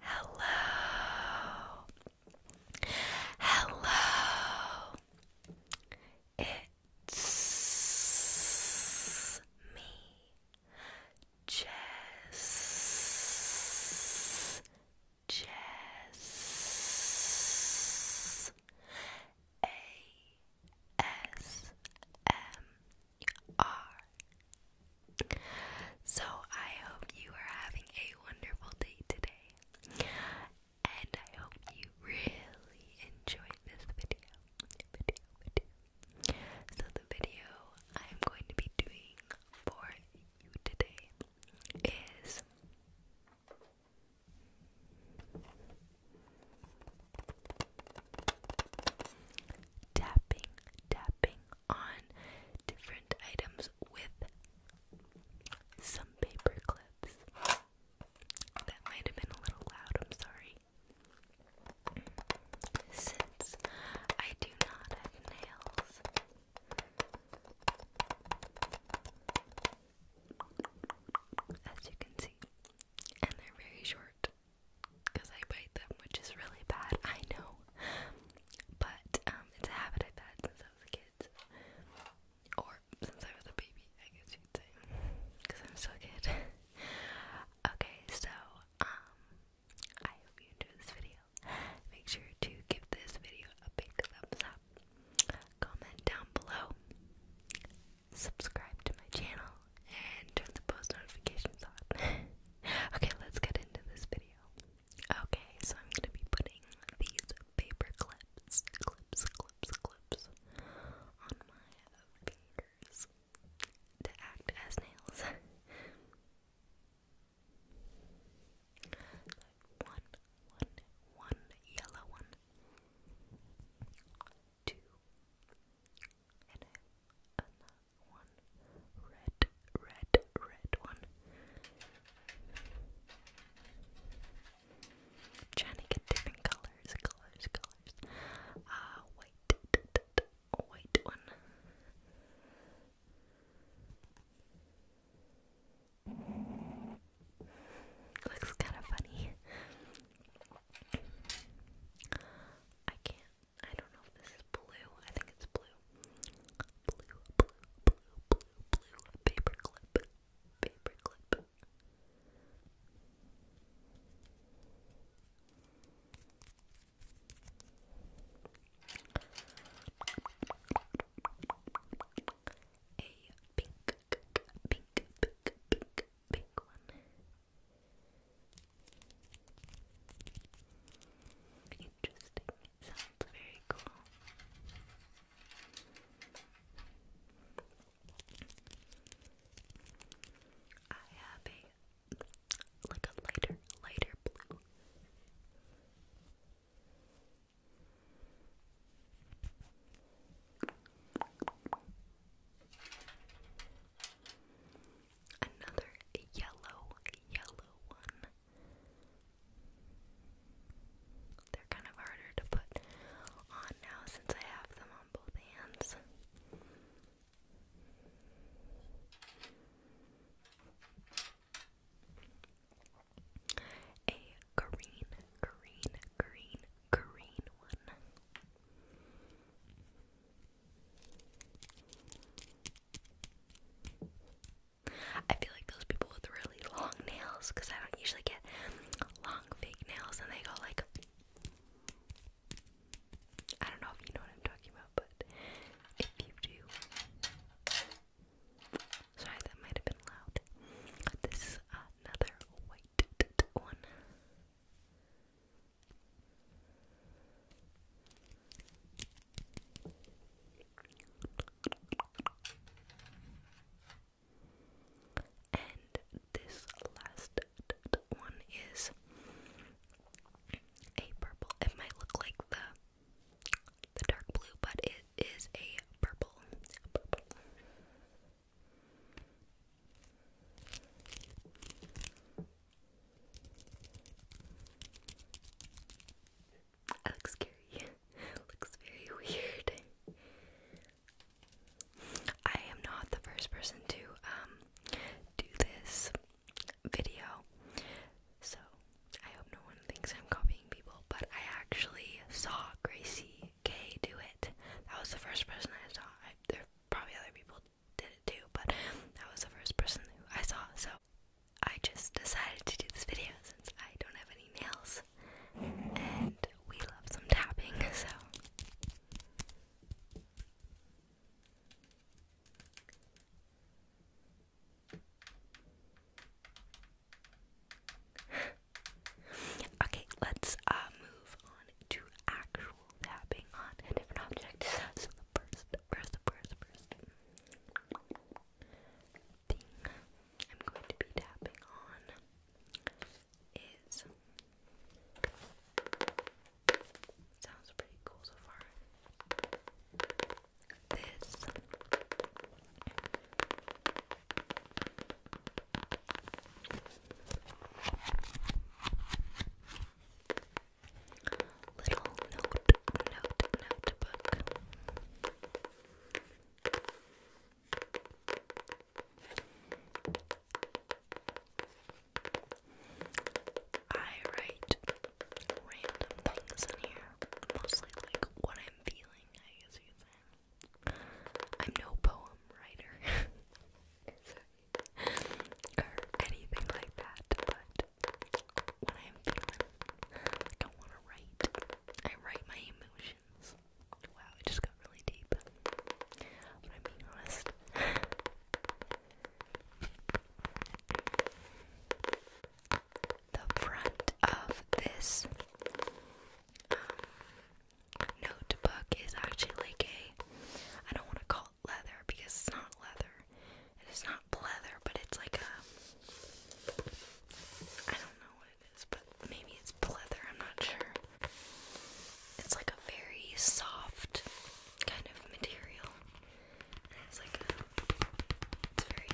Hello. Hello. It's me, Jess. Jess. A S M so I hope you are having a wonderful day today. And I hope you really enjoy this video. video. So the video I'm going to be doing for you today is tapping, tapping, on different items with some paper clips. That might have been a little loud, I'm sorry. Since I do not have nails, as you can see, and they're very short because I bite them, which is really bad, I know. But um, it's a habit I've had since I was a kid. Or since I was a baby, I guess you'd say. Because I'm still a okay, so um, I hope you enjoyed this video. Make sure to give this video a big thumbs up. Comment down below. Subscribe to my channel and turn the post notifications on. okay, let's get into this video. Okay, so I'm gonna be putting these paper clips, clips, clips, clips on my fingers to act as nails. one, one, one yellow one, two, and I have another one, red, red, red one. trying to get different colors, colors, colors. Uh, white, white one. Looks kind of funny. I can't I don't know if this is blue. I think it's blue. Blue, blue, blue, blue, blue. Paperclip. Paperclip. A pink, pink, pink, pink, pink one. Interesting. It sounds very cool. I have a like a lighter, lighter Another yellow, yellow one. They're kind of harder to put on now since I have them on both hands. A green, green, green, green one. I feel like those people with really long nails, because I don't usually get long fake nails, and they go like. I don't know if you know what I'm talking about, but if you do. Sorry, that might have been loud. This is another white one. And this last one is a purple. It might look like the the dark blue, but it is a purple. I look scary. Looks very weird. I am not the first person to um do this video. So I hope no one thinks I'm copying people, but I actually saw Gracie K do it. That was the first person I saw. I, probably other people did it too, but that was the first person I saw. So I just decided to do this video since I don't have any nails and we love some tapping, so okay, let's uh, move on to actual tapping on a different object. So the first first, first, first thing I'm going to be tapping on is sounds pretty cool so far. This little notebook. I write random things in here, mostly like what I'm feeling, I guess you could say. I'm no poem writer or anything like that, but when I'm feeling want to write. I write my emotions. Wow, it just got really deep. the front of this um, notebook is actually like a. I don't want to call leather because it's not leather. It is not pleather, but it's like a. I don't know what it is, but maybe it's pleather, I'm not sure. It's like a very soft kind of material. it's like It's very.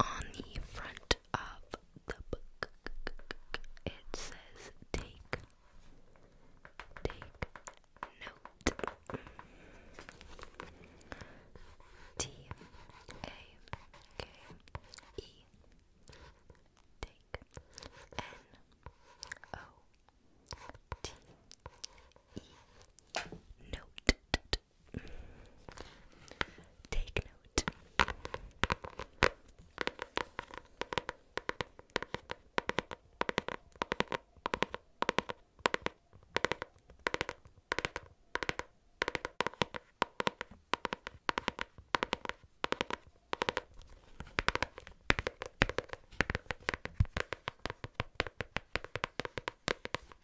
On the front of the book. It says take take note. T A K E take N O T E note. Take note.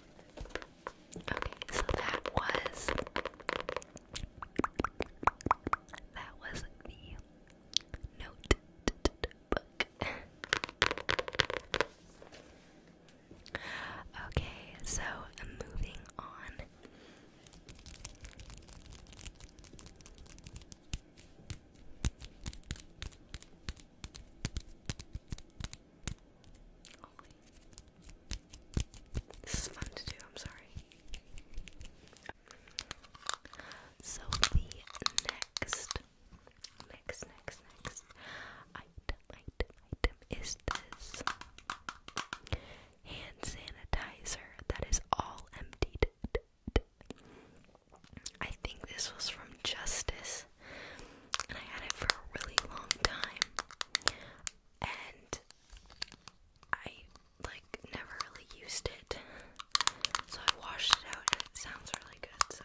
Okay, so that was that was the note okay, so moving on. This is fun to do, I'm sorry. So the next, next, next, next item, item, item is this hand sanitizer that is all emptied. I think this was from Justice this. And I had it for a really long time. And I like never really used it. So I washed it out and it sounds really good, so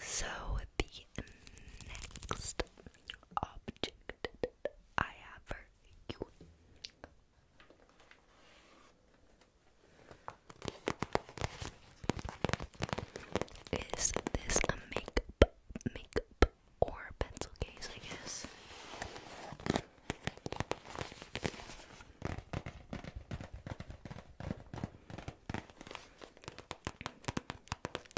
So, the next object I have for you is this a makeup, makeup, or pencil case, I guess.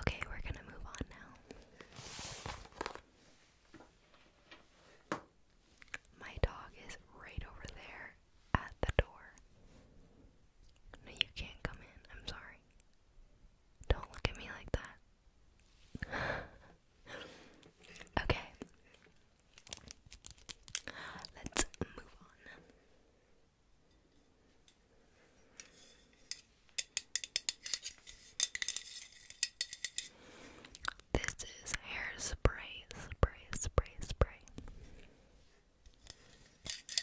Okay, we're going to move on now. My dog is right over there at the door. No, you can't come in. I'm sorry. Don't look at me like that. okay. Let's move on. This is hairspray, spray, spray, spray.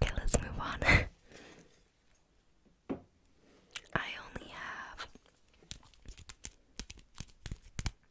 Okay, let's move on. I only have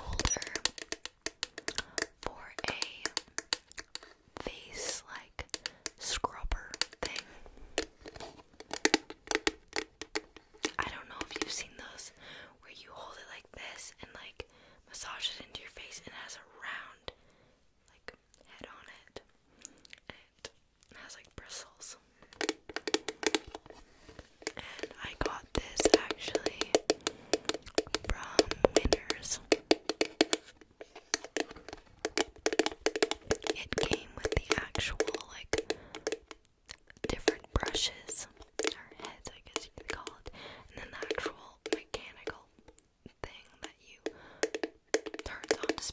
holder for a face like scrubber thing. I don't know if you've seen those where you hold it like this and like massage it into your face and it has a round like head on it. And it has like bristles and I got this actually from Winners. It came with the actual like different brushes or heads, I guess you could call it, and then the actual mechanical thing that you turn on to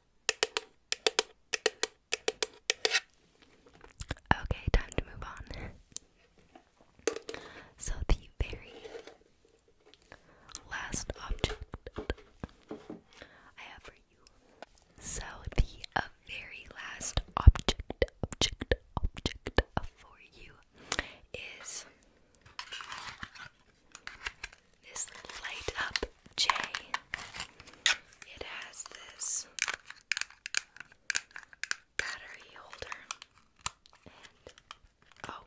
Okay, time to move on. So, the very last object I have for you. So, the uh, very last object, object, object for you is this light up J. It has this battery holder and oh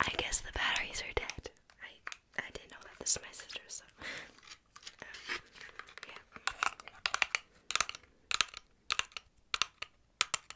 I guess the batteries are dead. I I didn't know that this is my sister, so um, yeah.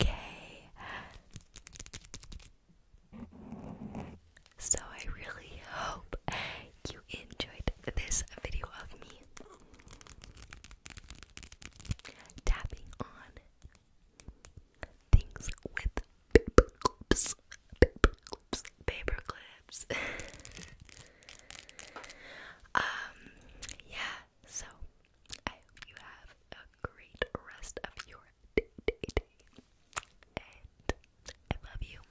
Okay. So I really hope you enjoyed this video of me tapping on things with paper clips, um, yeah, so I hope you have a great rest of your day. and I love you.